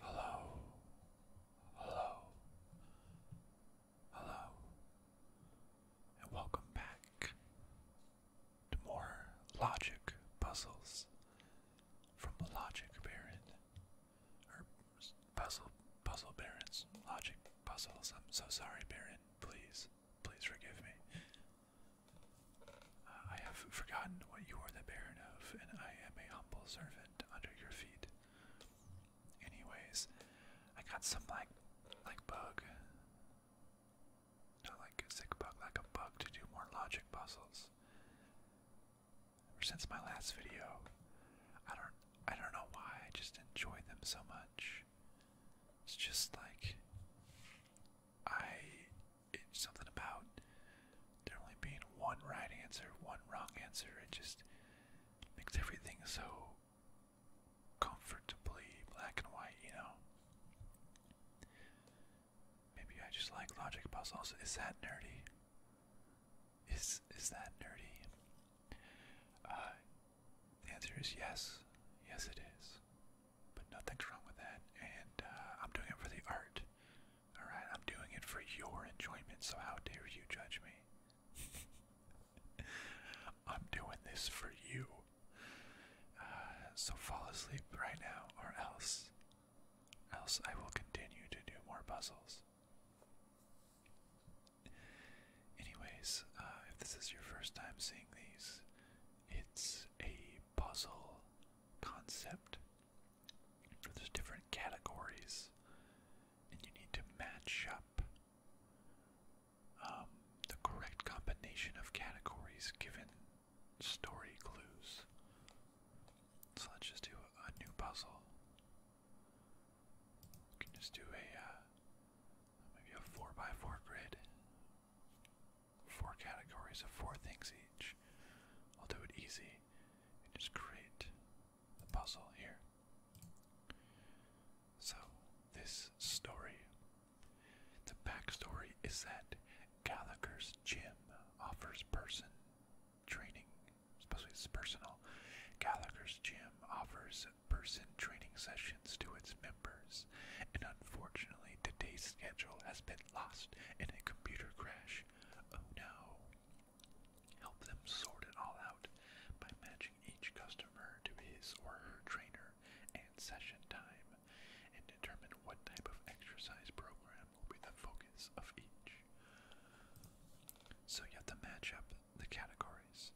Hello, hello, hello, and welcome back to more logic puzzles from the Logic Baron, or Puzzle Puzzle Barons, Logic Puzzles. I'm so sorry, Baron. Please, please forgive me. Uh, I have forgotten what you are the baron of, and I am a humble servant under your feet. Anyways, I got some like, like bug. Not like a sick bug, like a bug to do more logic puzzles. Ever since my last video, I don't, I don't know why I just enjoy them so much. It's just like I it's something about there only being one right answer, one wrong answer. It just makes everything so comfortably black and white, you know. Maybe I just like logic puzzles. Is that nerdy? Is is that nerdy? Uh, the answer is yes. Yes, it is. But nothing's wrong with that. And uh, I'm doing it for the art. Alright? I'm doing it for your enjoyment, so how dare you judge me? I'm doing this for you. Uh, so fall asleep right now, or else. Else I will continue to do more puzzles. Anyways, uh, if this is your first time seeing these, it's a puzzle concept. for There's different categories, and you need to match up um, the correct combination of categories given story clues. So let's just do a new puzzle can just do a uh, maybe a four by four grid. Four categories of four things each. I'll do it easy and just create the puzzle here. So, this story, the backstory is that Gallagher's gym offers person training, supposedly it's personal. Gallagher's gym offers person training sessions to its members, and unfortunately today's schedule has been lost in a computer crash. Oh no. Help them sort it all out by matching each customer to his or her trainer and session time, and determine what type of exercise program will be the focus of each. So you have match up the categories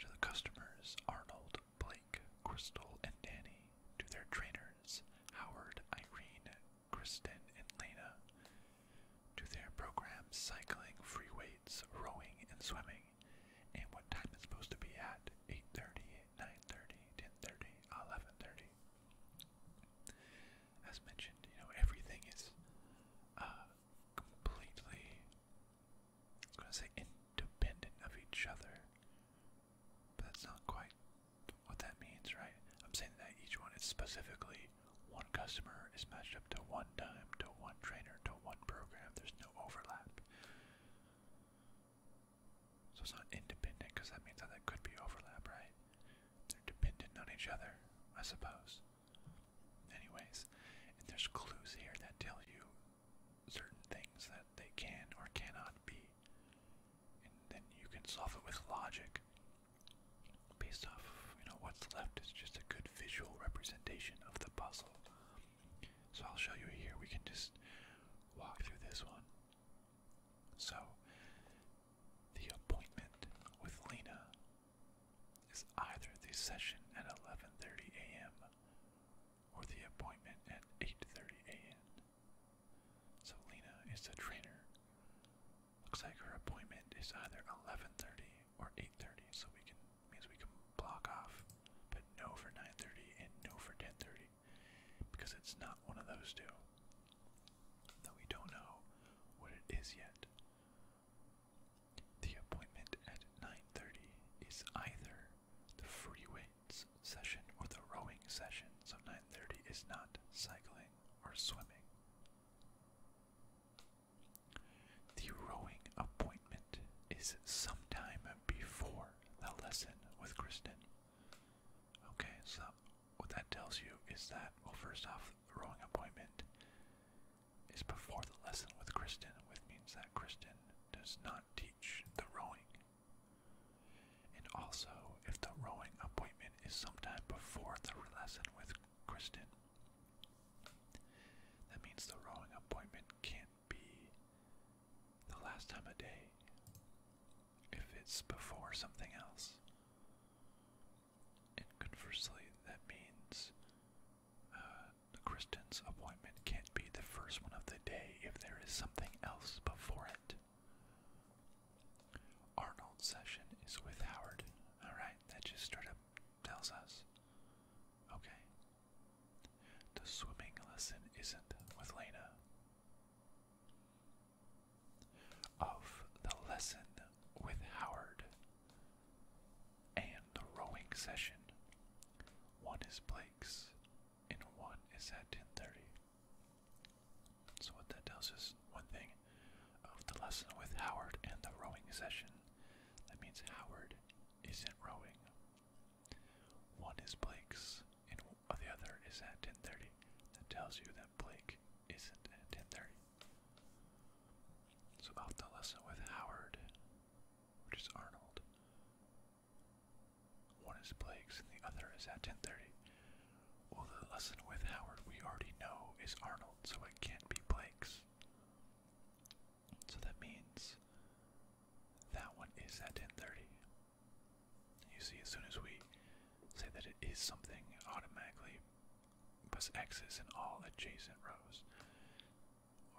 to the customers Arnold, Blake, Crystal, and Danny, to their trainers Howard, Irene, Kristen, and Lena, to their programs cycling, free weights, rowing, and swimming, and what time it's supposed to be at 8:30, 9:30, 10:30, 11:30. As mentioned, you know everything is uh, completely was going to say independent of each other, but that's not quite what that means, right? I'm saying that each one is specifically one customer is matched up to one time, to one trainer, to one program. There's no overlap. So it's not independent because that means that there could be overlap, right? They're dependent on each other, I suppose. Anyways, and there's clues here that tell you certain things that they can or cannot be. And then you can solve it with logic. Based off, you know, what's left is just a good visual representation of the puzzle. So I'll show you here. We can just walk through this one. So, the appointment with Lena is either the session at 11:30 a.m. or the appointment at 8:30 a.m. So Lena is the trainer. Looks like her appointment is either 11:30 or 8:30, so we can means we can block off, but no for 9:30 and no for 10:30 because it's not one of those two. Though we don't know what it is yet. The appointment at 9.30 is either the free weights session or the rowing session, so 9.30 is not cycling or swimming. The rowing appointment is sometime before the lesson with Kristen. Okay, so what that tells you is that, well, first off, the rowing appointment is before the lesson with Kristen, which means that Kristen does not teach the rowing. And also, if the rowing appointment is sometime before the lesson with Kristen, that means the rowing appointment can't be the last time of day if it's before something else. And conversely, that means uh, the Kristen's appointment can't be the first one of the day if there is something else before it. Arnold's session is with Howard. Alright, that just straight up tells us. Okay. The swimming lesson isn't with Lena. Of the lesson with Howard, and the rowing session. One is Blake's, and one is at 10:30. So what that tells us, one thing, of the lesson with Howard and the rowing session, that means Howard isn't rowing. One is Blake's, and the other is at 10:30. That tells you that Blake isn't at 10:30. So off the lesson with Howard, which is Arnold. One is Blake's and the other is at 1030. Well, the lesson with Howard we already know is Arnold, so it can't be Blake's. So that means that one is at 1030. You see, as soon as we say that it is something, automatically plus X is in all adjacent rows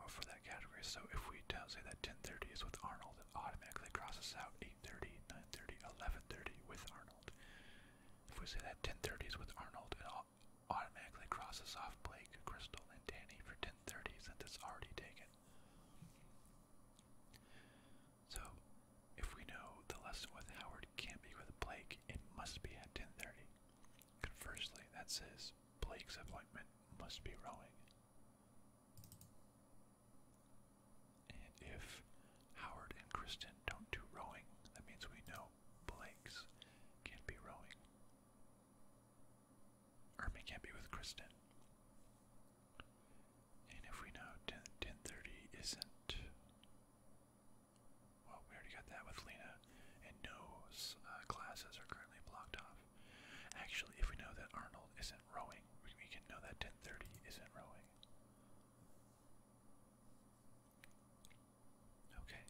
for that category. So if we tell, say that 10:30 is with Arnold, it automatically crosses out 8:30, 9:30, 11:30 with Arnold. If we say that 10:30 is with Arnold, it automatically crosses off Blake, Crystal, and Danny for 10:30 since it's already taken. So, if we know the lesson with Howard can't be with Blake, it must be at 10:30. Conversely, that says Blake's appointment must be rowing. And if Howard and Kristen don't do rowing, that means we know Blake's can't be rowing. Ermi can't be with Kristen. And if we know 1030 isn't well, we already got that with Lena, and no uh, classes are currently blocked off. Actually, if we know that Arnold isn't rowing, we, we can know that 1030 isn't rowing. Okay.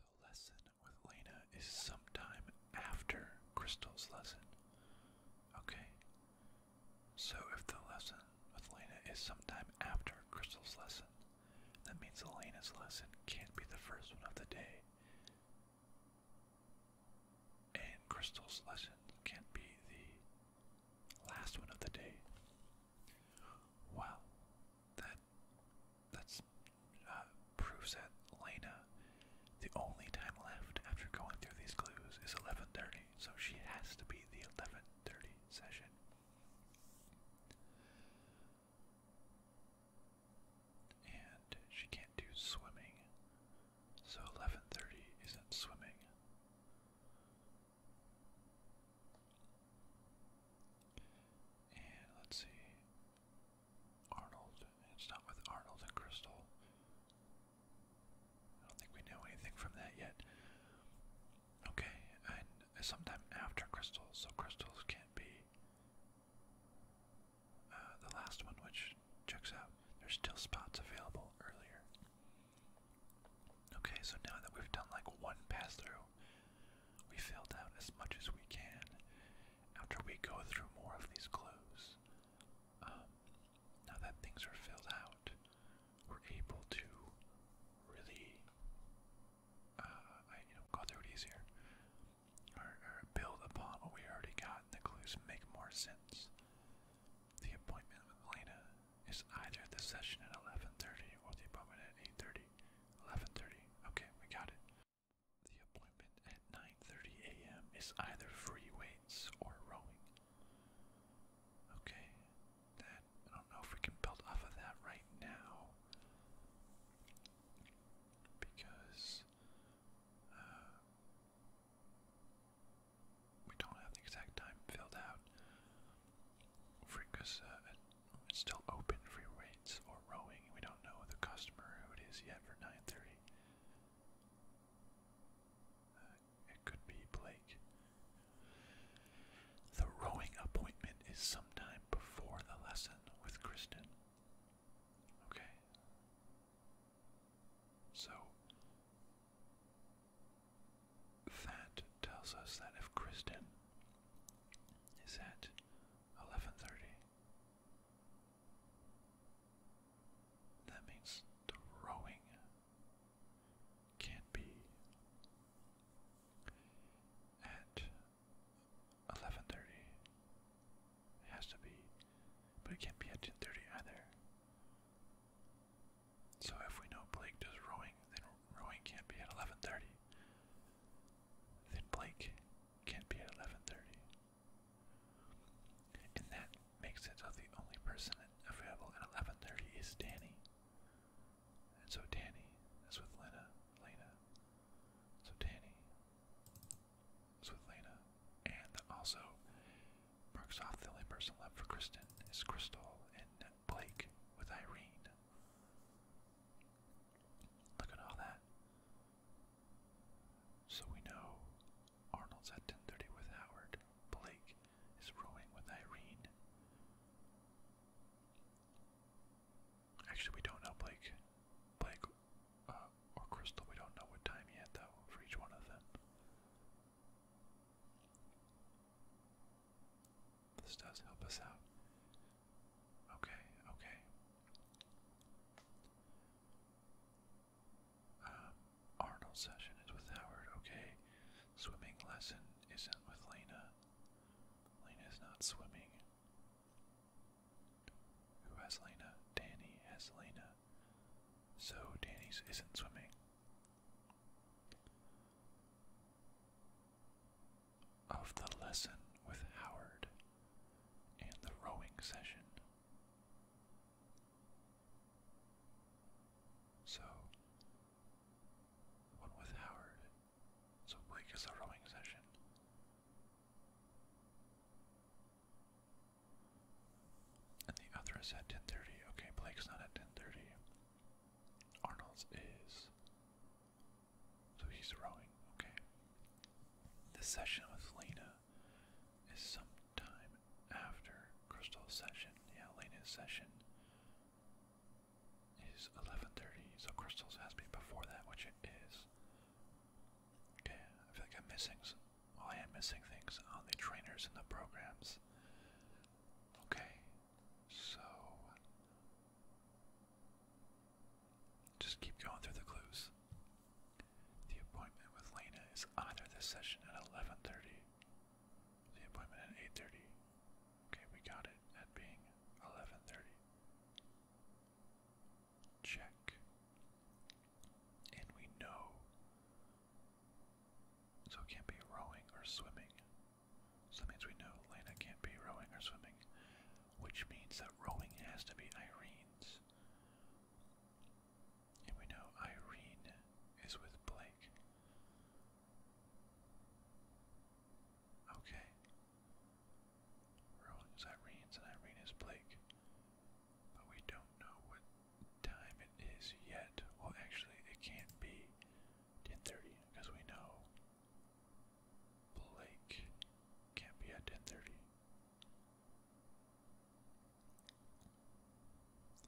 The lesson with Lena is sometime after Crystal's lesson. Okay. So if the lesson with Lena is sometime after Crystal's lesson, that means Elena's lesson can't be the first one of the day. And Crystal's lesson can't be the last one of the day. Well, that that's uh, proves that Elena, the only time left after going through these clues is 11:30, so she has to be the 11:30 session. And she can't do swimming. So 11:30 isn't swimming. And let's see. Arnold. It's not with Arnold and Crystal. I don't think we know anything from that yet. Okay, and sometime after crystals, so crystals can't be uh, the last one, which checks out. There's still spots available earlier. Okay, so now that we've done like one pass through, we fill down as much as we can after we go through more of these clues. Um, now that things are filled out, we're able to really uh, I, you know, go through it easier, or, build upon what we already got. And the clues make more sense. The appointment with Elena is either the session at 11:30 or the appointment at 8:30. 11:30. Okay, we got it. The appointment at 9:30 a.m. is either free weights or rowing. Okay, that I don't know if we can build off of that right now because uh, we don't have the exact time filled out. Free, because uh, it's still open free weights or rowing. We don't know the customer who it is yet for 9:30. Uh, it could be Blake. The rowing appointment is sometime before the lesson with Kristen. Okay? So, that tells us that if Kristen is at 11.30, that means the can't be at eleven thirty. It has to be, but it can't be at ten thirty either. So if we know Blake does rowing, then rowing can't be at eleven thirty. Then Blake can't be at eleven thirty. And that makes it so the only person available at eleven thirty is Danny. And so Danny is with Lena. Lena. So Danny is with Lena. And also marks off the only person left for Kristen is Crystal and Blake with Irene. Look at all that. So we know Arnold's at 1030 with Howard. Blake is rowing with Irene. Actually, we don't know Blake, Blake, uh, or Crystal. We don't know what time yet, though, for each one of them. This does help us out. Okay, okay. Um, session is with Howard. Okay. Swimming lesson isn't with Lena. Lena not swimming. Who has Lena? Danny has Lena. So Danny's isn't swimming. Of the lesson with Howard and the rowing session. So, the one Howard so Blake is a rowing session. And the other is at 10.30. Okay, Blake's not at 10.30. Arnold's is. So he's rowing. Okay. The session with Lena is sometime after Crystal's session. Yeah, Lena's session is 11.30, so Crystals has to be before that, which it is. Okay, I feel like I'm missing, well I am missing things on the trainers and the programs. Okay, so... Just keep going through the clues. The appointment with Lena is either this session at 11.30, the appointment at 8.30, Okay, we got it at being 11:30. Check. And we know. So it can't be rowing or swimming. So that means we know Lena can't be rowing or swimming, which means that rowing has to be Irene's. And we know Irene is with Blake. Okay. Rolling is Irene's and Irene is Blake. But we don't know what time it is yet. Well, actually, it can't be 10:30 because we know Blake can't be at 10:30.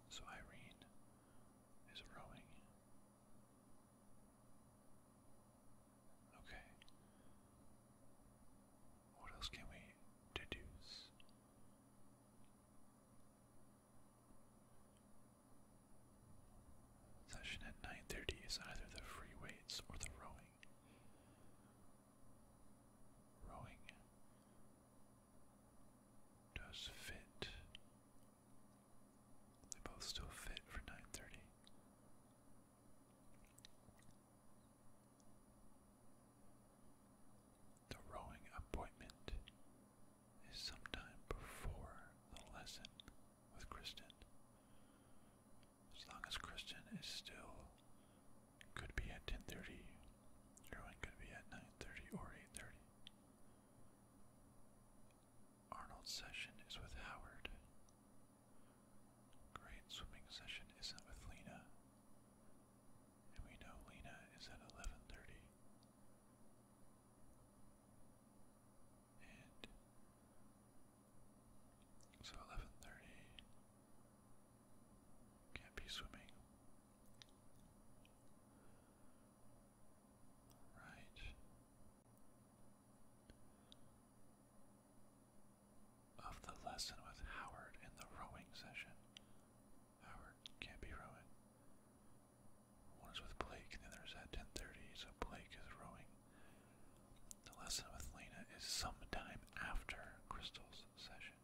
So Irene is rowing Okay. What else can we deduce? Session at 9:30 is either the free weights or the rowing. Rowing does fit they both still fit for 930. The rowing appointment is sometime before the lesson with Kristen. As long as Kristen is still could be at 10:30, Erwin could be at 9:30 or 8:30. Arnold's session is with Howard. Great swimming session isn't with Lena. And we know Lena is at 11:30. And so 11:30 can't be swimming. Right. Of the lesson with Howard in the rowing session. Howard can't be rowing. One is with Blake, the other is at 10:30, so Blake is rowing. The lesson with Lena is sometime after Crystal's session.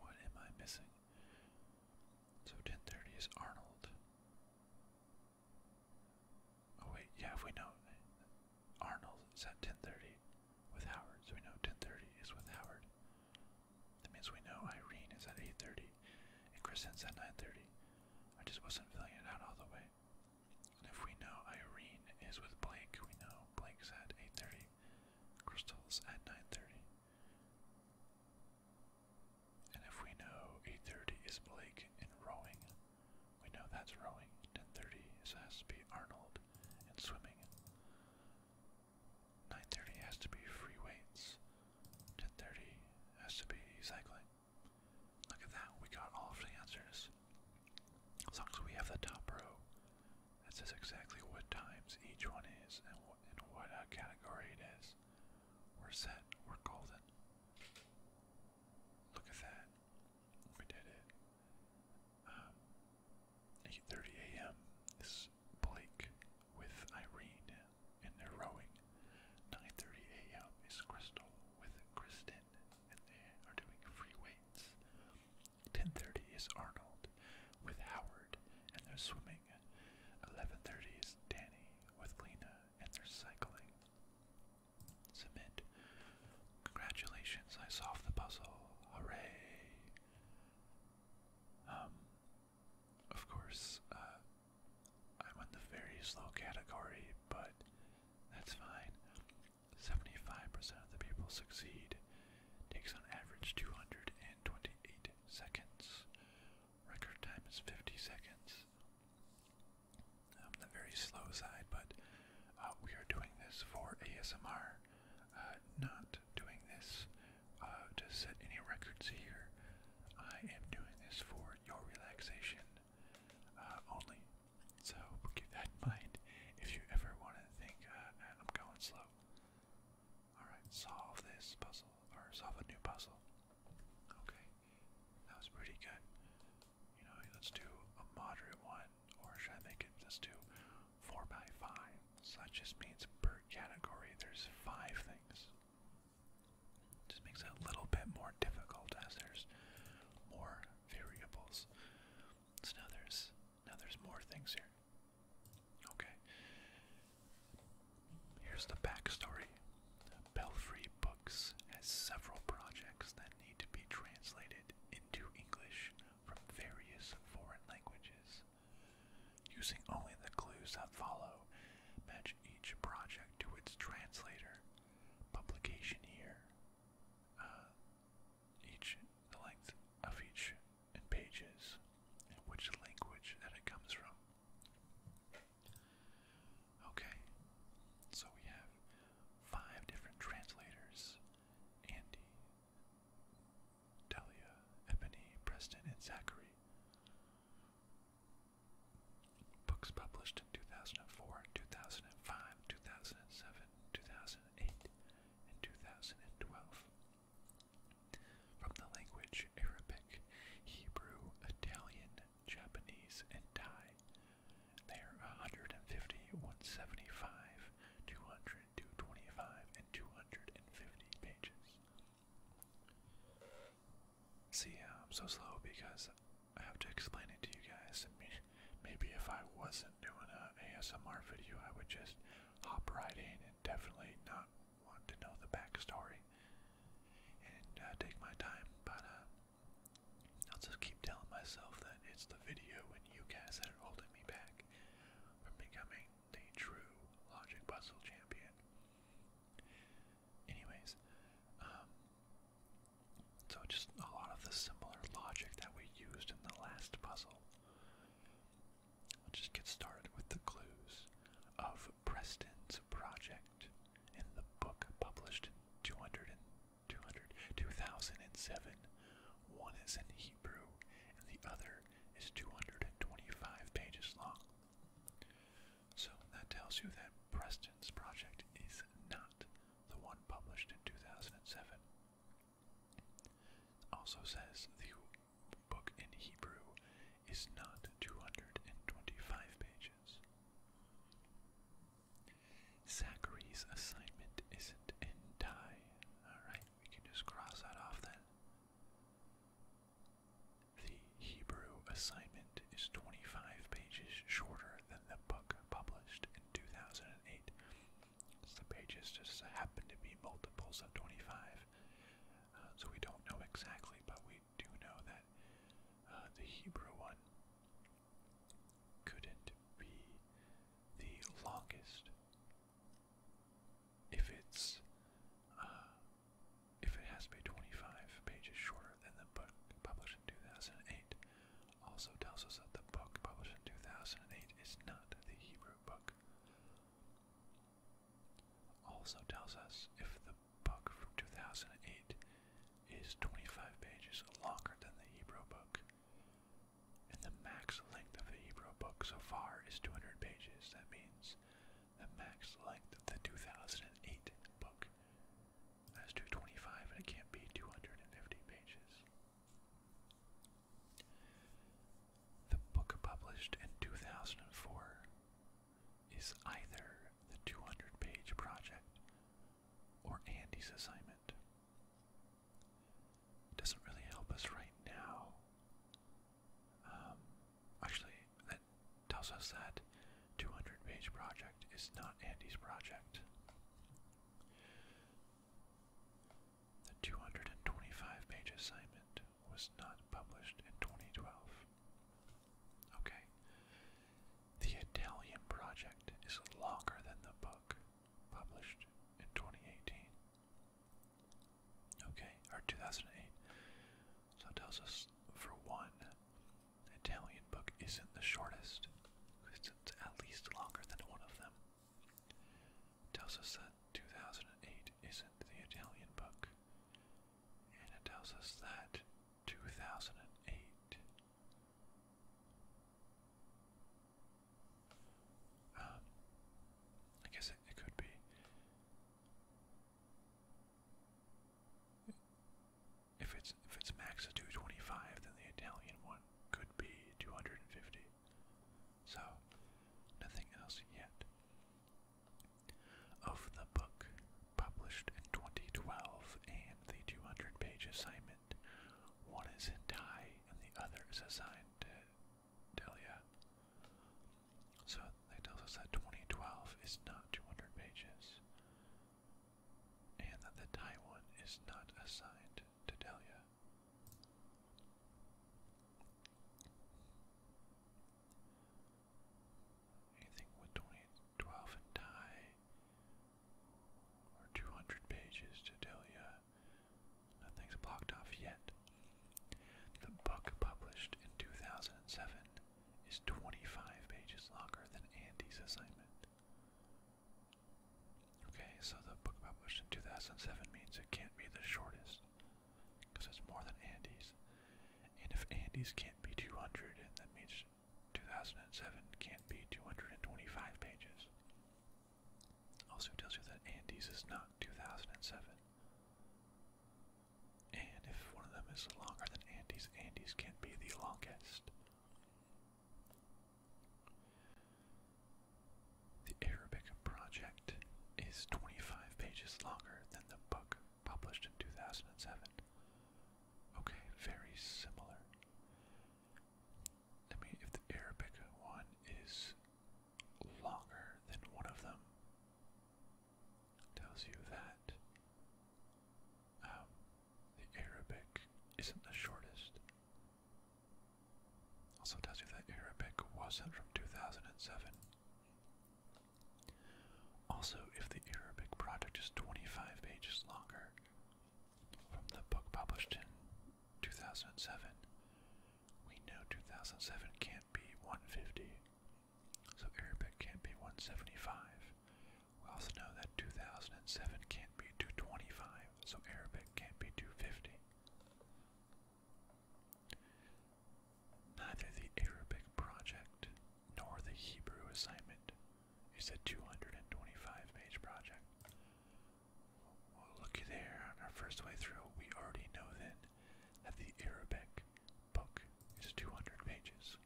What am I missing? So 10:30 is Arnold. Oh wait, yeah, if we know Arnold is at 10:30 with Howard, so we know 10:30 is with Howard. That means we know Irene is at 8:30 and Chris is at 9:30. I just wasn't filling it out all the way. And if we know Irene is with Blake, we know Blake's at 8:30 crystals at 9:30. And if we know 8:30 is Blake in rowing, we know that's rowing. 10:30 has to be Arnold and swimming. 9:30 has to be free weights. 10:30 has to be cycling. Look at that, we got all of the answers. As long as we have the top row, it says exactly what times each one is and what what uh, category it is. We're set. We're golden. Look at that. We did it. 8:30 um, a.m. is Blake with Irene, and they're rowing. 9:30 a.m. is Crystal with Kristen, and they are doing free weights. 10:30 is Arnold with Howard and they're swimming. 11:30 is Danny with Lena and they're cycling. Submit. Congratulations, I solved the puzzle. Hooray. Um of course, uh, I'm in the very slow category, but that's fine. 75% of the people succeed. Takes on average 228 seconds. Record time is 50 seconds. On um, the very slow side, but uh, we are doing this for ASMR. Uh, not doing this uh, to set any records here. I am doing this for your relaxation only. So keep that in mind if you ever want to think I'm going slow Alright, solve this puzzle, or solve a new puzzle. Okay, that was pretty good. You know, let's do a moderate one, or should I make it, let's do 4 by 5 So that just means per category there's 5 things. Just makes it a little bit more difficult as there's more variables. So now there's now there's more things here. Okay. Here's the backstory. Belfry Books has several projects that need to be translated into English from various foreign languages. Using only the clues that follow, match each project to its translator. Publication year each the length of each in pages and which language that it comes from. Okay, so we have five different translators Andy, Delia, Ebony, Preston, and Zachary. Books published in 2004, 2005, 2007, 2008, in 2012. From the language Arabic, Hebrew, Italian, Japanese, and Thai, they are 150, 175, 200, 225, and 250 pages. See, I'm so slow because I have to explain it to you guys maybe if I wasn't doing a ASMR video, I would just hop right in and definitely not want to know the backstory and uh, take my time. But uh, I'll just keep telling myself that it's the video and you guys that are holding me back from becoming the true Logic Puzzle champion. Anyways, um, so just a lot of the similar logic that we used in the last puzzle. I'll just get started with the clues of Preston's project in the book published in 200 2007. One is in Hebrew and the other is 225 pages long. So that tells you that Preston's project is not the one published in 2007. Also says the book in Hebrew is not 225 pages. Zachary's assignment isn't in tie. Alright, we can just cross that off then. The Hebrew assignment is 25 pages shorter than the book published in 2008 the pages just happen to be multiples of 25. Uh, so we don't know exactly, but we do know that uh, the Hebrew one couldn't be the longest if it's uh, if it has to be 25 pages shorter than the book published in 2008 also tells us that the book published in 2008 is not the Hebrew book. Also tells us if the book from 2008 is 25 pages longer than the Hebrew book. And the max length of the Hebrew book so far is 200 pages. That means the max length of the 2008 book has 225 and it can't be 250 pages. The book published in 2004 is either the 200 page project or Andy's assignment. doesn't really help us right now. Um, actually, that tells us that 200 page project is not Andy's project. The 225 page assignment was not published in 2012. Okay. The Italian project is longer than the book published in 2018. Okay, or 2008. So it tells us, for one, the Italian book isn't the shortest, it's at least longer than one of them tells us that 2008 isn't the Italian book, and it tells us that 2008 uh, I guess it, could be if it's if it's max of 225 then the Italian one could be 250 so, nothing else yet. Of the book published in 2012 and the 200 page assignment, one is in Thai and the other is assigned to Delia. So that tells us that 2012 is not 200 pages, and that the Thai one is not assigned to Delia. Anything with 20, and die, or 200 pages to tell you, nothing's blocked off yet. The book published in 2007 is 25 pages longer than Andy's assignment. Okay, so the book published in 2007 means it can't be the shortest because it's more than Andy's. And if Andy's can't be 200, that means 2007 can't be 225 pages. Also tells you that Andy's is not 2007. And if one of them is longer than Andy's, Andy's can't be the longest. The Arabic project is 25 pages longer than the book published in 2007. Okay, very similar. I mean, if the Arabic one is longer than one of them, tells you that um, the Arabic isn't the shortest. Also tells you that Arabic wasn't from 2007. Also, if the Arabic project is 25 pages longer from the book published in 2007, we know 2007 can't be 150, so Arabic can't be 175. We also know that 2007 can't be 225, so Arabic can't be 250. Neither the Arabic project nor the Hebrew assignment is a 225 page project. Well, looky there, on our first way through, we already know then that the Arabic book is 200 pages.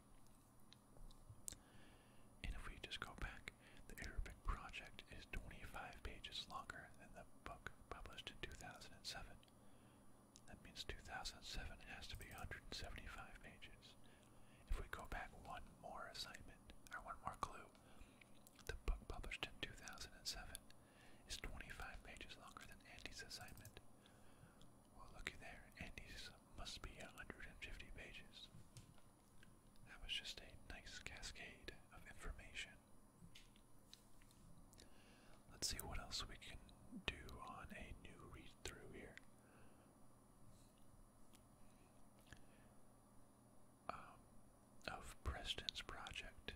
And if we just go back the Arabic project is 25 pages longer than the book published in 2007. That means 2007 has to be 175 pages. If we go back one more assignment, or one more clue, the book published in 2007 is 25 pages longer than Andy's assignment. Well, looky there, Andy's must be 150 pages. That was just a nice cascade of information. Let's see what else we can do on a new read through here. Um, of Preston's project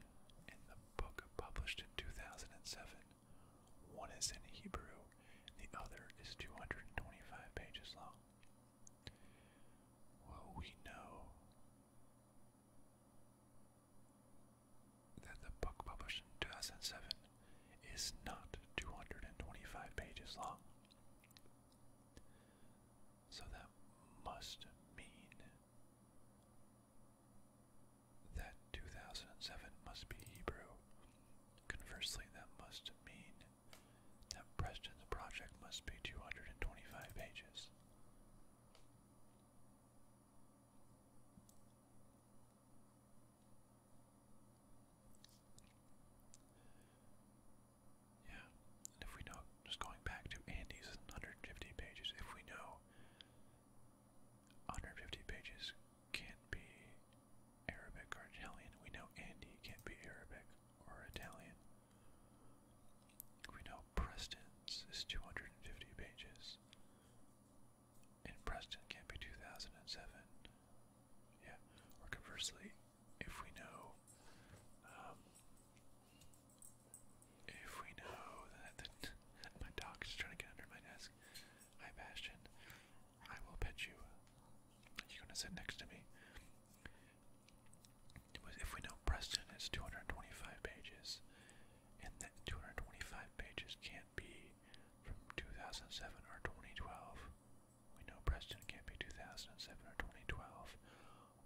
in the book published in 2007. One is in Hebrew, the other is 225 pages long. Well, we know that the book published in 2007 is not 225 pages long. So that must mean that 2007 must be Hebrew. Conversely, that must mean that Preston's project must be 225 pages. Yeah, if we know, just going back to Andy's 150 pages, if we know 150 pages can't be Arabic or Italian, we know Andy can't be Arabic or Italian. We know Preston's is 250 pages. And Preston can't be 2007. Yeah, or conversely, if we know, um, if we know that, that my dog is trying to get under my desk, hi Bastion, I will pet you. You're gonna sit next to me. If we know Preston, is 225 pages, and that 225 pages can't be from 2007 or 2012. We know Preston can't be 2007 or 2012.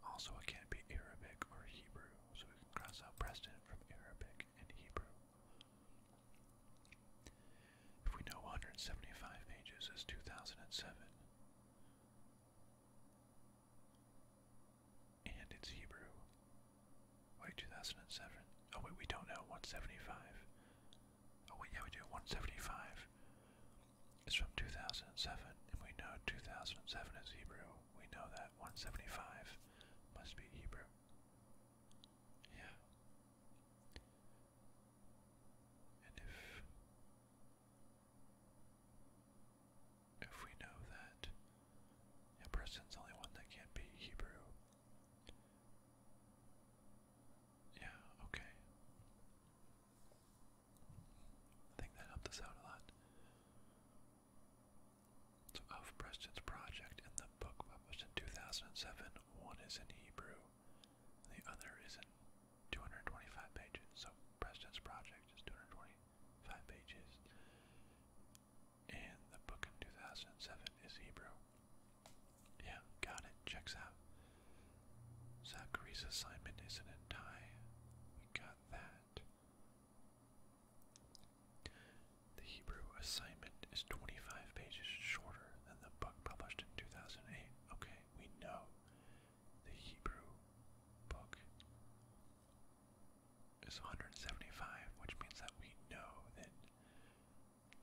Also, it can't be Arabic or Hebrew, so we can cross out Preston from Arabic and Hebrew. If we know 175 pages is 2007, and it's Hebrew. Wait, 2007. Oh, wait, we don't know. 175. Oh, wait, yeah, we do. 175 It's from 2007, and we know 2007 is Hebrew. We know that 175 must be Hebrew. Yeah. And if if we know that a person's only one that can't be Hebrew. Yeah, okay. I think that helped us out a lot. So of Preston's project in the book published in 2007, one is in Hebrew, the other is not 225 pages. So President's Project is 225 pages. And the book in 2007 is Hebrew. Yeah, got it. Checks out. Zachary's assignment isn't in tie. We got that. The Hebrew assignment is 25 pages shorter than the book published in 2008. Okay, we know the Hebrew book is 175, which means that we know that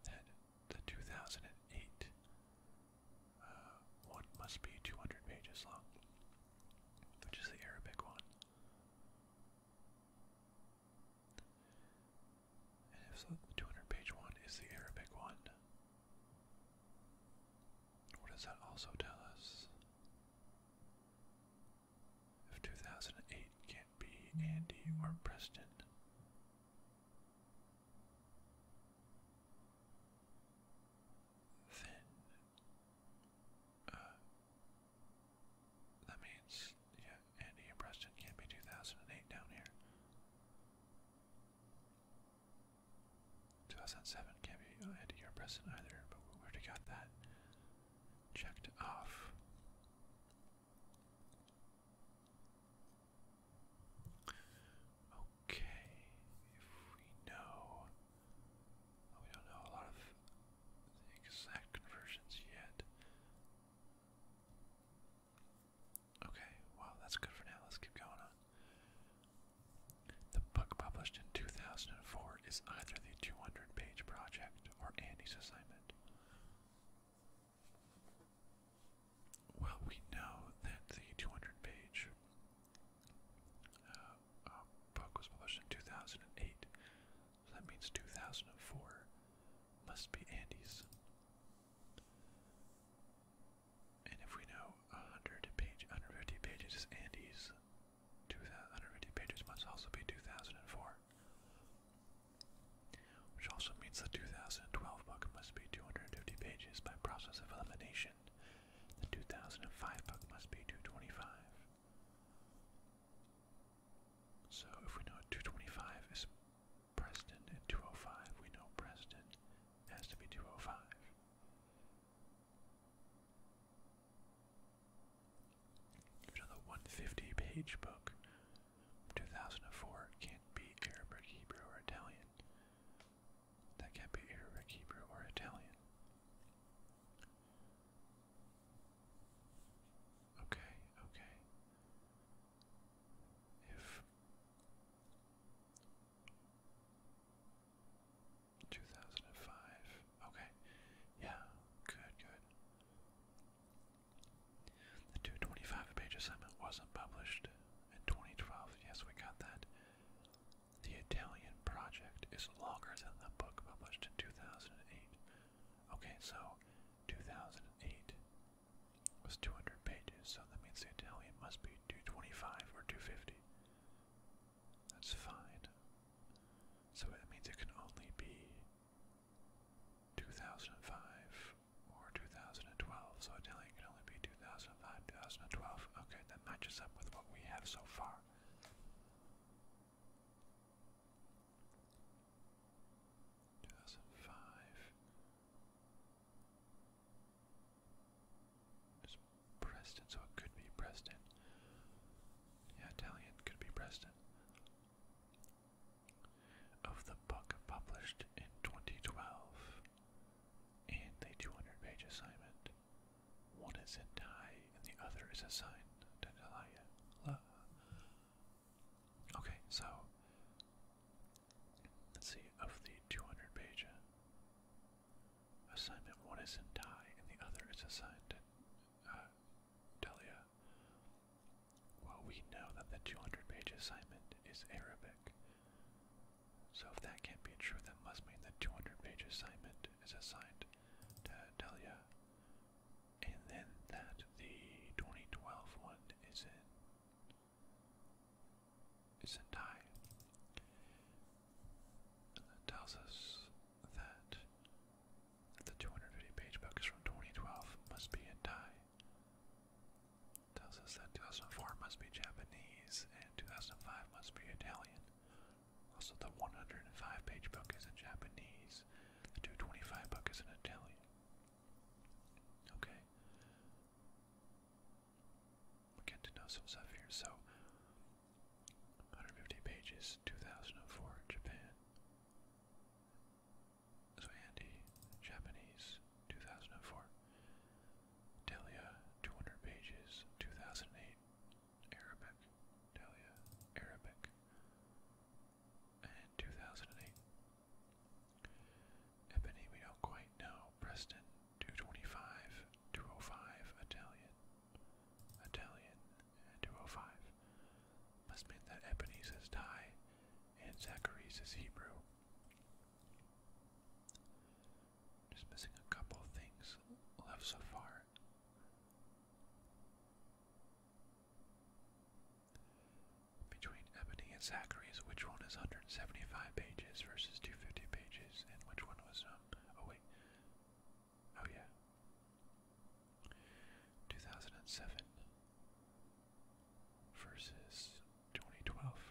that the 2008 uh, one must be 200 pages long, which is the Arabic one. And if so, the 200 page one is the Arabic one, what does that also tell us? If 2008 can't be Andy or Preston, then uh, that means yeah, Andy and Preston can't be 2008 down here. 2007 can't be a year present either, but we already got that checked off. Okay, if we know, we don't know a lot of the exact conversions yet. Okay, well, that's good for now. Let's keep going on. The book published in 2004 is either the 200 page project or Andy's assignment. Well, we know that the 200 page uh, uh, book was published in 2008, so that means 2004 must be Andy's. And if we know 100 page, 150 pages is Andy's, two hundred fifty pages must also be 2004. Which also means the 2012 book must be 250 pages by process of elimination. The 2005 book must be 225. So if we know 225 is Preston and 205, we know Preston has to be 205. Even though 150 page book 2004 can't be Arabic, Hebrew, or Italian. That can't be Arabic, Hebrew, or Italian. Okay, okay. If 2005. Okay. Yeah. Good, good. The 225 page assignment wasn't published in 2012. Yes, we got that. The Italian project is longer than the book published in 2008. Okay, so 2008 was 200 pages, so that means the Italian must be 225 or 250. That's fine. So that means it can only be 2005 or 2012. So italian can only be 2005, 2012. Okay, that matches up with what we have so far. Two thousand five. Preston, so it could be Preston. Yeah, Italian could be Preston. Of the book published in 2012 and the 200 page assignment, one is a die and the other is a sign. Okay, so let's see, of the 200 page Assignment one is in Thai and the other is assigned to uh, Delia. Well, we know that the 200 page assignment is Arabic. So if that can't be true, that must mean that 200 page assignment is assigned to Delia. And then that the 2012 one is in Sentai. And that tells us that the 250 page book is from 2012, must be in Thai. Tells us that 2004 must be Japanese and 2005 must be Italian. Also, the 105 page book is in Japanese, the 225 book is in Italian. Okay. We're getting to know some stuff here. So, 150 pages, 2004, Japan. So Andy, Japanese, 2004. Delia, 200 pages, 2008. Arabic, Delia, Arabic, and 2008. Ebony, we don't quite know. Preston, 225, 205, Italian, Italian, and 205. Must mean that Ebony says Thai and Zachary's is Hebrew. Just missing a couple things left so far. Between Ebony and Zachary's, which one is 175 pages versus 250 pages? and which one was um, Oh wait, oh yeah, two thousand and seven versus twenty twelve.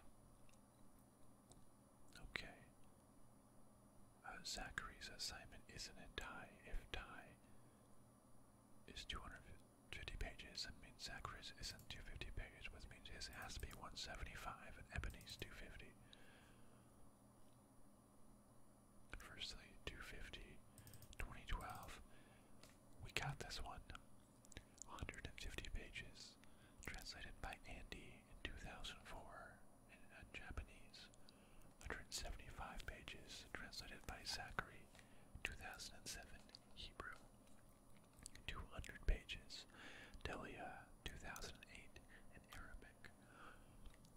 Okay. Uh, Zachary's assignment isn't a die If die is two hundred fifty pages, I mean Zachary's isn't two fifty pages with me. This has to be 175 and Ebony's 250. Firstly, 250, 2012. We got this one. 150 pages, translated by Andy in 2004 And uh, Japanese. 175 pages, translated by Zachary, 2007 Hebrew. 200 pages. Delia, 2008, in Arabic.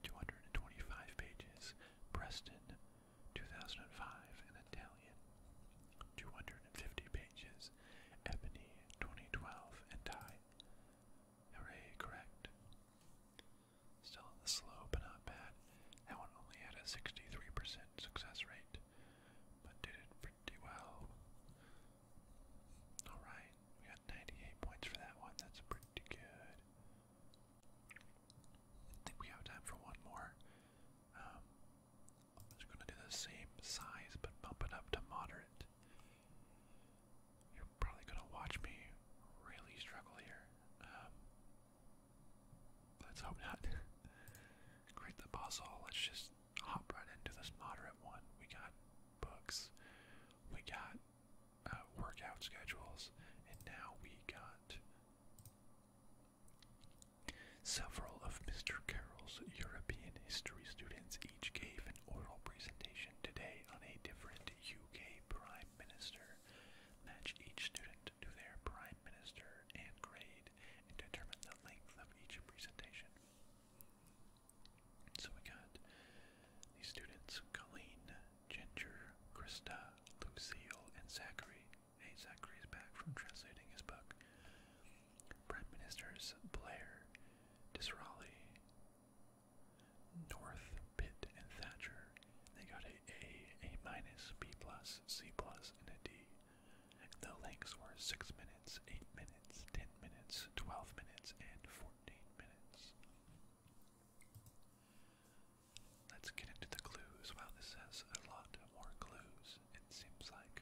225 pages. Preston, 2005, in Italian. 250 pages. Ebony, 2012, and I. Hooray, correct. Still on the slow, but not bad. That one only had a 63% success rate, but did it pretty well. Alright, we got 98 points for that one. That's pretty good. I think we have time for one more. Um, I'm just going to do the same size but bump it up to moderate. You're probably going to watch me really struggle here. Um, let's hope not. Create the puzzle. Let's just hop right into this moderate one. We got books, we got uh, workout schedules, and now we got several of Mr. Carroll's European history students each gave an oral presentation today on a different UK prime minister. Match each student to their prime minister and grade and determine the length of each presentation. So we got the students Colleen, Ginger, Krista, Lucille, and Zachary. Hey, Zachary's back from translating his book. Prime Ministers Blair, Disraeli, North, Pitt, and Thatcher. They got a A, A minus, B plus, C plus, and a D. The lengths were 6 minutes, 8 minutes, 10 minutes, 12 minutes, and 14 minutes. Let's get into the clues. Wow, this has a lot more clues, it seems like.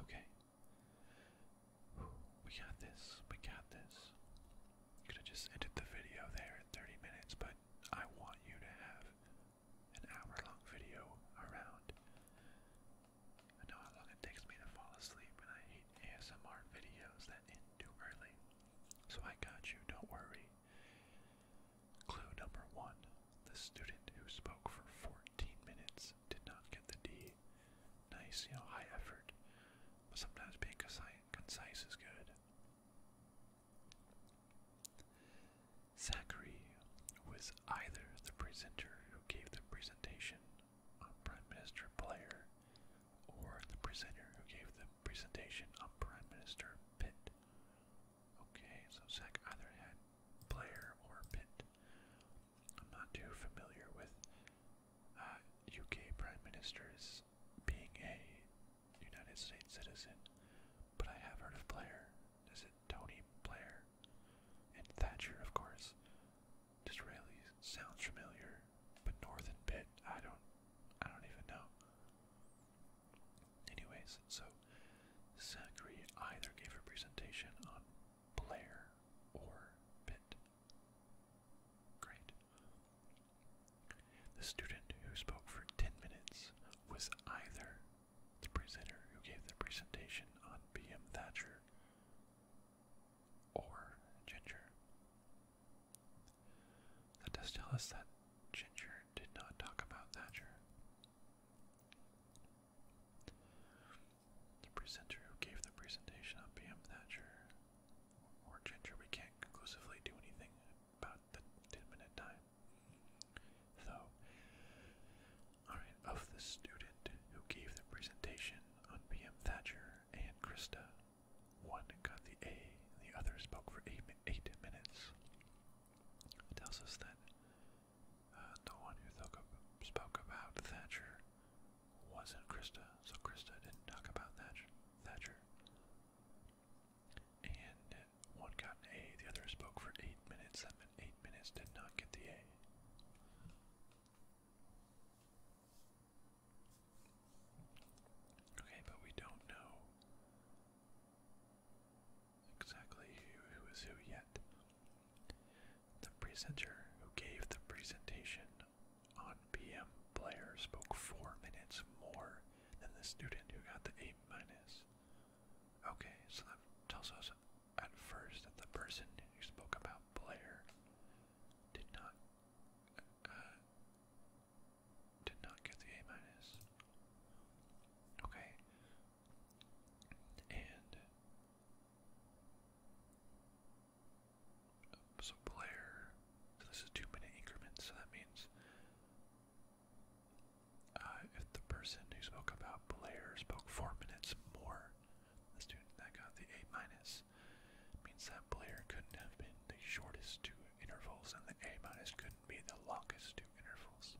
Okay. We got this. We got this. Could have just ended the video there at 30 minutes, but I want you to have an hour long video around. I know how long it takes me to fall asleep, and I hate ASMR videos that end too early. So I got you, don't worry. Clue number one the student who spoke for 14 minutes did not get the D. Nice, you know, high effort. sometimes being concise is good. Zachary was either the presenter who gave the presentation, on Prime Minister Blair, or the presenter who gave the presentation on Prime Minister Pitt. Okay, so Zach either had Blair or Pitt. I'm not too familiar with UK uh, Prime Ministers being a United States citizen, but I have heard of Blair. Is it Tony Blair? And Thatcher, of course. Disraeli sounds familiar, but Northern Bit, I don't I don't even know. Anyways, so Zachary either gave a presentation on Blair or Pitt. Great. The student who spoke for 10 minutes was either the presenter who gave the presentation on B.M. Thatcher or Ginger. That does tell us that Ginger did not talk about Thatcher. The presenter who gave the presentation on B.M. Thatcher or Ginger, we can't conclusively do anything about the 10 minute time. So, alright, of the student who gave the presentation on B. M. Thatcher and Krista, one got the A, and the other spoke for eight, minutes. It tells us that uh, the one who spoke about Thatcher wasn't Krista, so Krista didn't talk about Thatcher. Uh, one got an A, the other spoke for eight minutes. That eight minutes did not get the A. Okay, but we don't know exactly who is who yet. The presenter who gave the presentation on PM Player spoke four minutes more than the student who got the A minus. Okay, so that tells us at first the person who spoke about Blair did not uh, did not get the A minus. Okay. And so Blair, so this is two minute increments, so that means uh, if the person who spoke about Blair spoke four minutes more, the student that got the A minus means that Blair couldn't have been the shortest two intervals, and the A minus couldn't be the longest two intervals.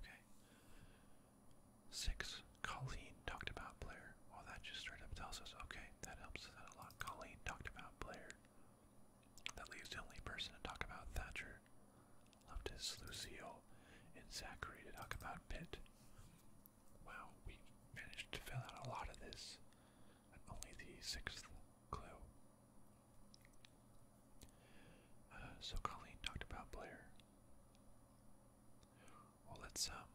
Okay. Six. Colleen talked about Blair. Well, that just straight up tells us, okay, that helps us a lot. Colleen talked about Blair. That leaves the only person to talk about Thatcher. Leftist Lucille and Zachary to talk about Pitt. Wow, we managed to fill out a lot of this. And only the sixth clue. Uh, so Colleen talked about Blair. Well, let's um,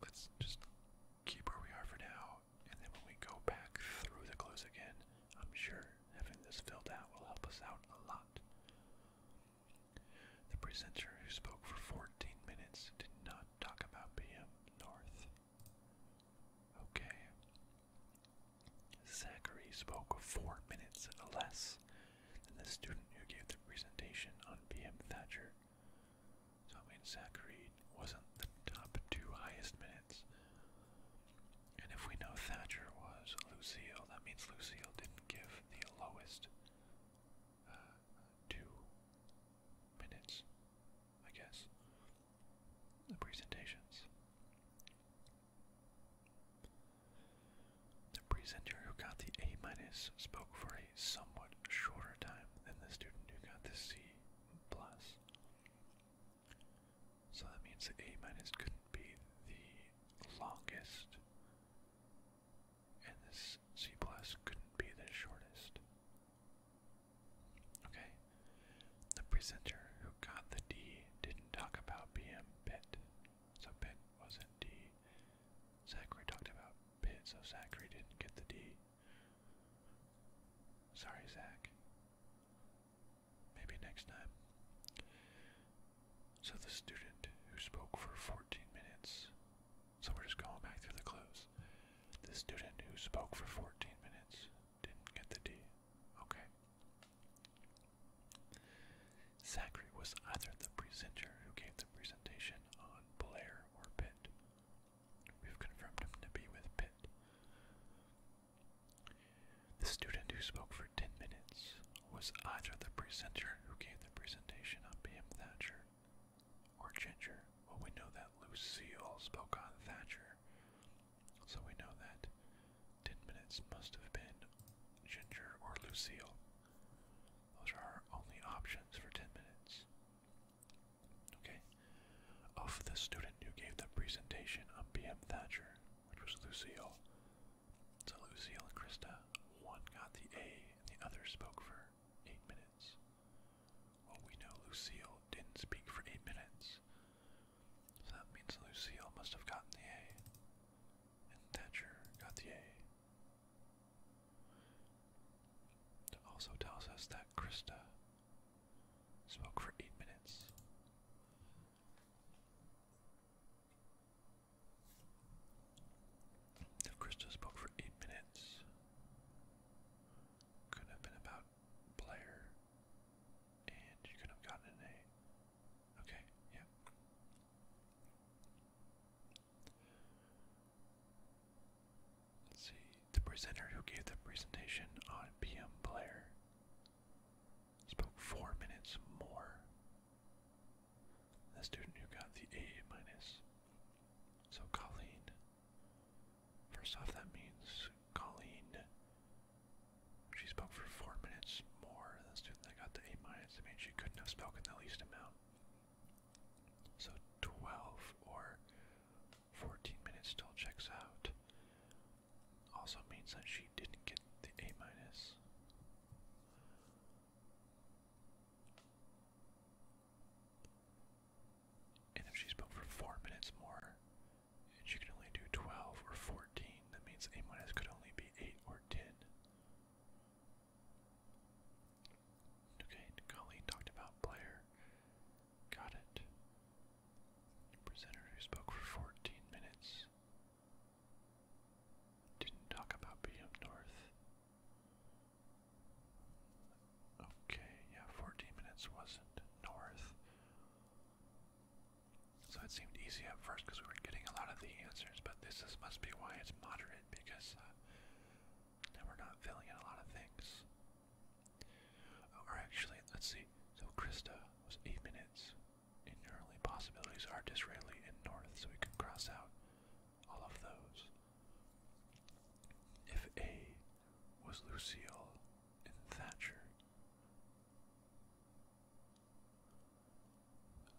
let's just keep where we are for now, and then when we go back through the clues again, I'm sure Having this filled out will help us out a lot. The presenter who spoke for 14 minutes did not talk about B. M. North. Okay. Zachary spoke four minutes less than the student who gave the presentation on B. M. Thatcher. So I mean Zachary wasn't the top two highest minutes. And if we know Thatcher was Lucille, that means Lucille didn't give the lowest uh, two minutes, I guess, presentations. The presenter who got the A minus spoke for a somewhat shorter time than the student who got the C plus. So that means that A minus couldn't be the longest, and this C plus couldn't be the shortest. Okay, the presenter who got the D didn't talk about BM Pitt, so Pitt wasn't D. Zachary talked about Pitt, so Zachary didn't get the D. Sorry, Zach. Maybe next time. So the student who spoke for 14 minutes. So we're just going back through the clues. The student who spoke for 14 minutes didn't get the D. Okay. Zachary was either the presenter who gave the presentation on Blair or Pitt. We've confirmed him to be with Pitt. The student who spoke for 10 minutes was either the presenter who gave the presentation on B.M. Thatcher or Ginger. Well, we know that Lucille spoke on Thatcher, so we know that 10 minutes must have been Ginger or Lucille. Those are our only options for 10 minutes. Okay. Of the student who gave the presentation on B.M. Thatcher, which was Lucille. So Lucille and Krista, one got the A and the other spoke for eight minutes. Well, we know Lucille didn't speak for eight minutes. So that means Lucille must have gotten the A. And Thatcher got the A. It also tells us that Krista spoke for eight minutes. Krista spoke for eight minutes, could have been about player, and you could have gotten A. Okay, yeah. Let's see. The presenter who gave the presentation on PM Player Spoke four minutes more. The student who got the A minus. So Colleen. First off, that means Colleen. She spoke for four minutes more than the student that got the A minus. It means she couldn't have spoken the least amount. So 12 or 14 minutes still checks out also means that she didn't get the A minus. And if she spoke for four minutes more, and she could only do 12 or 14, that means A minus could only be 8 or 10. Okay, Nikali talked about player. Got it. Presenter who spoke for 14 minutes. Didn't talk about being north. Okay, yeah, 14 minutes wasn't north. So it seemed easy at first because we were getting a lot of the answers, but this must be why it's moderate because uh, we're not filling in a lot of things or actually, let's see. So Krista was eight minutes. In only possibilities are Disraeli and North, so we can cross out all of those. If A was Lucille and Thatcher,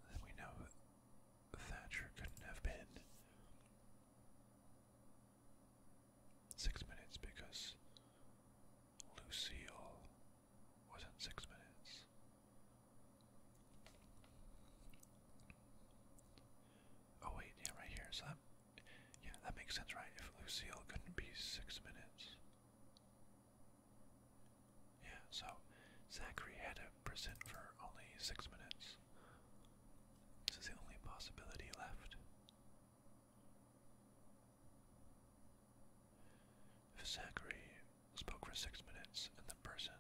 then we know Thatcher couldn't have been six minutes because Lucille was in six minutes. Oh wait, yeah, right here. So that, yeah, that makes sense, right? If Lucille couldn't be six minutes. Yeah, so Zachary had to present for only six minutes. This is the only possibility left. Zachary spoke for six minutes, and the person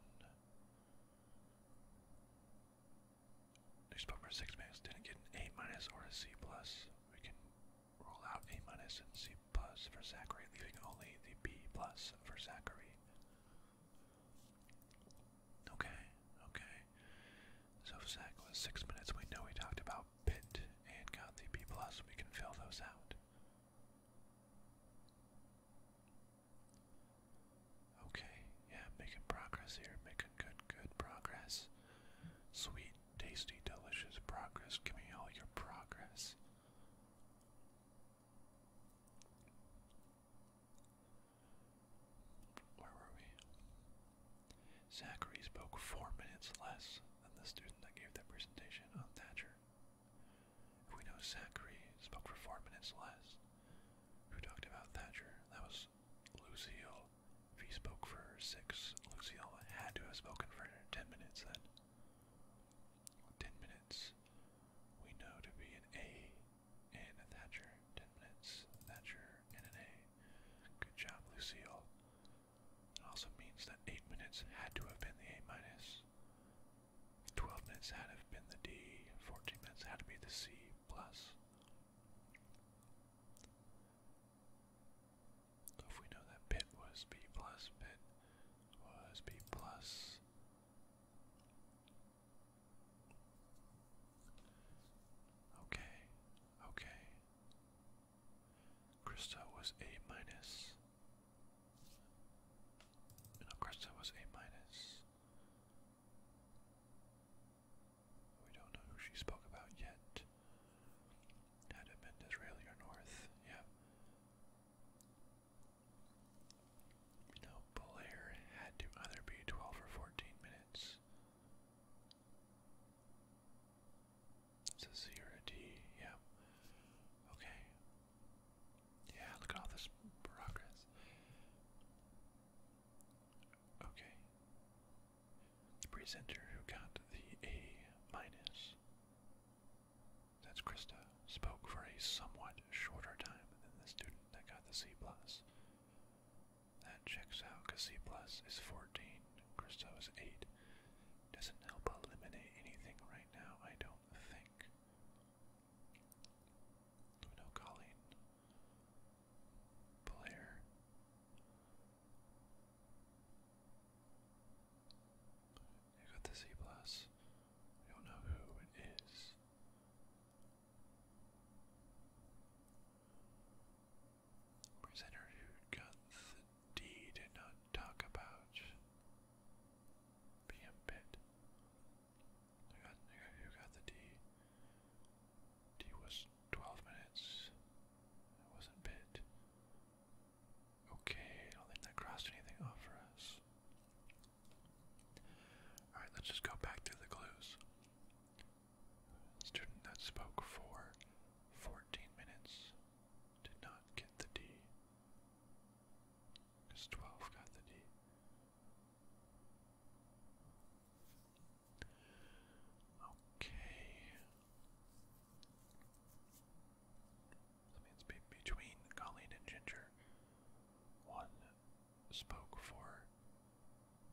who spoke for six minutes didn't get an A minus or a C plus. We can rule out A minus and C plus for Zachary, leaving only the B plus for Zachary. Okay, okay. So Zach was six minutes, we know he talked about rock pit and got the B plus, we can fill those out. Okay, yeah, making progress here, making good, good progress. Sweet, tasty, delicious progress. Give me all your progress. Where were we? Zachary spoke four minutes less than the student that gave that presentation on Thatcher. If we know Zachary spoke for four minutes less, who talked about Thatcher? That was Lucille. If he spoke for six, Lucille had to have spoken for ten minutes then. Ten minutes we know to be an A and a Thatcher. Ten minutes, Thatcher, and an A. Good job, Lucille. It also means that 8 minutes had to have been the A minus, 12 minutes had to have been the D, 14 minutes had to be the C plus. if we know that pit was B plus, pit was B plus. Okay, okay, Krista was a minus. No, Krista was a minus. We don't know who she spoke about yet. Had it been Disraeli or North, yeah. No, Blair had to either be 12 or 14 minutes. It's a zero D, yeah. Okay. Yeah, look at all this progress. Okay. The presenter who got the A minus. That's Krista. Spoke for a somewhat shorter time than the student that got the C plus. That checks out because C plus is 14 Christo is 8. Doesn't help eliminate anything right now, I don't think. Luno Colleen. Blair. You got the C plus. don't know who it is presenter who got the D did not talk about being bit. Who got, the D? D was 12 minutes. It wasn't bit. Okay, I don't think that crossed anything off for us. Alright, let's just go back through the clues. Student that spoke for 14 minutes did not get the D. Because 12 got the D. Okay. That means be between Colleen and Ginger, one spoke for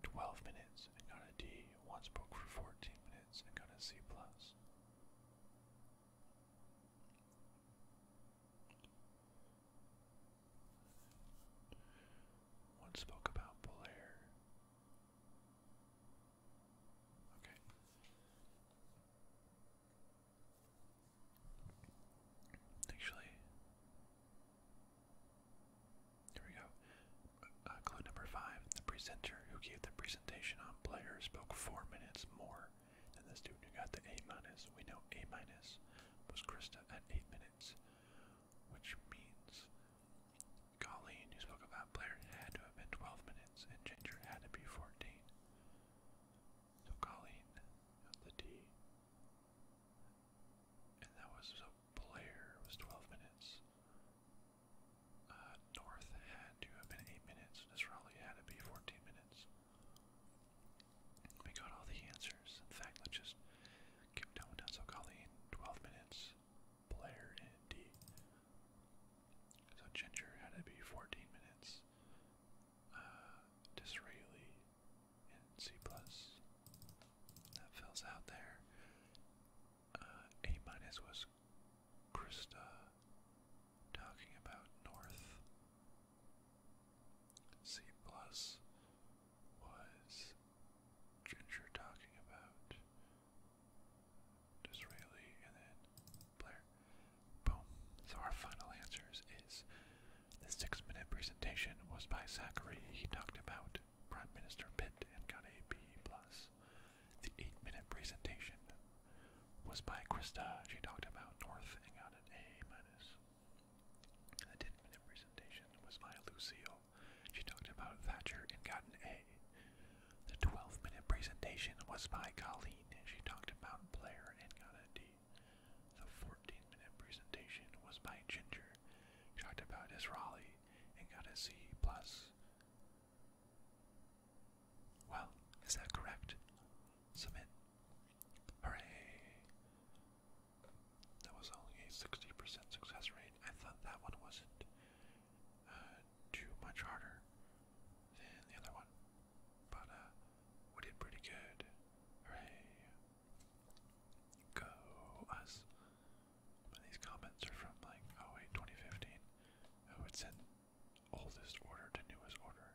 12 minutes minutes and got a D, Once spoke for 14 minutes and got a C plus. One spoke about Blair. Okay. Actually, here we go. Uh, clue number five. The presenter who gave the presentation on Blair spoke four minutes more than the student who got the A minus. We know A minus was Krista at eight minutes, which means Colleen, who spoke about Blair, had to have been 12 minutes, and Ginger had to be 14. So Colleen got the D. And that was so player was 12 minutes. Uh, North had to have been 8 minutes. Nisrali had to be 14 minutes. We got all the answers. In fact, let's just keep down with Denzel Colleen. 12 minutes. Blair in D. So Ginger had to be 14 minutes. Uh, Disraeli in C+. plus. That fills out there. Uh, A- was Krista talking about North. C plus was Ginger talking about Disraeli and then Blair. Boom. So our final answers is the six minute presentation was by Zachary. He talked about Prime Minister Pitt and got a B+. The eight-minute presentation was by Krista. She talked about North and got an A-. The ten-minute presentation was by Lucille. She talked about Thatcher and got an A. The 12-minute presentation was by Colleen. She talked about Blair and got a D. The 14-minute presentation was by Ginger. She talked about Israeli and got a C+. Well, is that correct? Submit. Hooray! That was only a 60% success rate. I thought that one wasn't uh, too much harder than the other one. But uh, we did pretty good. Hooray! Go us these comments are from like, oh wait, 2015. Oh, it's in oldest order to newest order.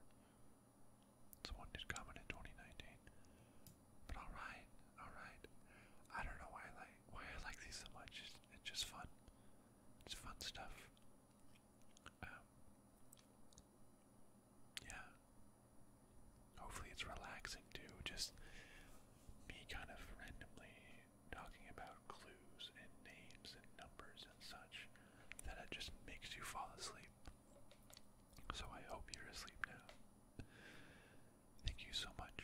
one did comment in 2019. But alright, alright. I don't know why I like why I like these so much. It's, just fun. It's fun stuff. Um, yeah. Hopefully it's relaxing too. Just me kind of randomly talking about clues and names and numbers and such that it just makes you fall asleep. So I hope you're asleep now. Thank you so much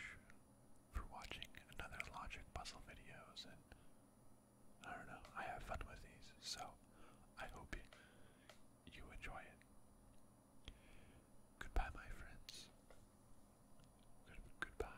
for watching another Logic Puzzle videos and I don't know, I have fun with these, so I hope you enjoy it. Goodbye my friends. Good, goodbye.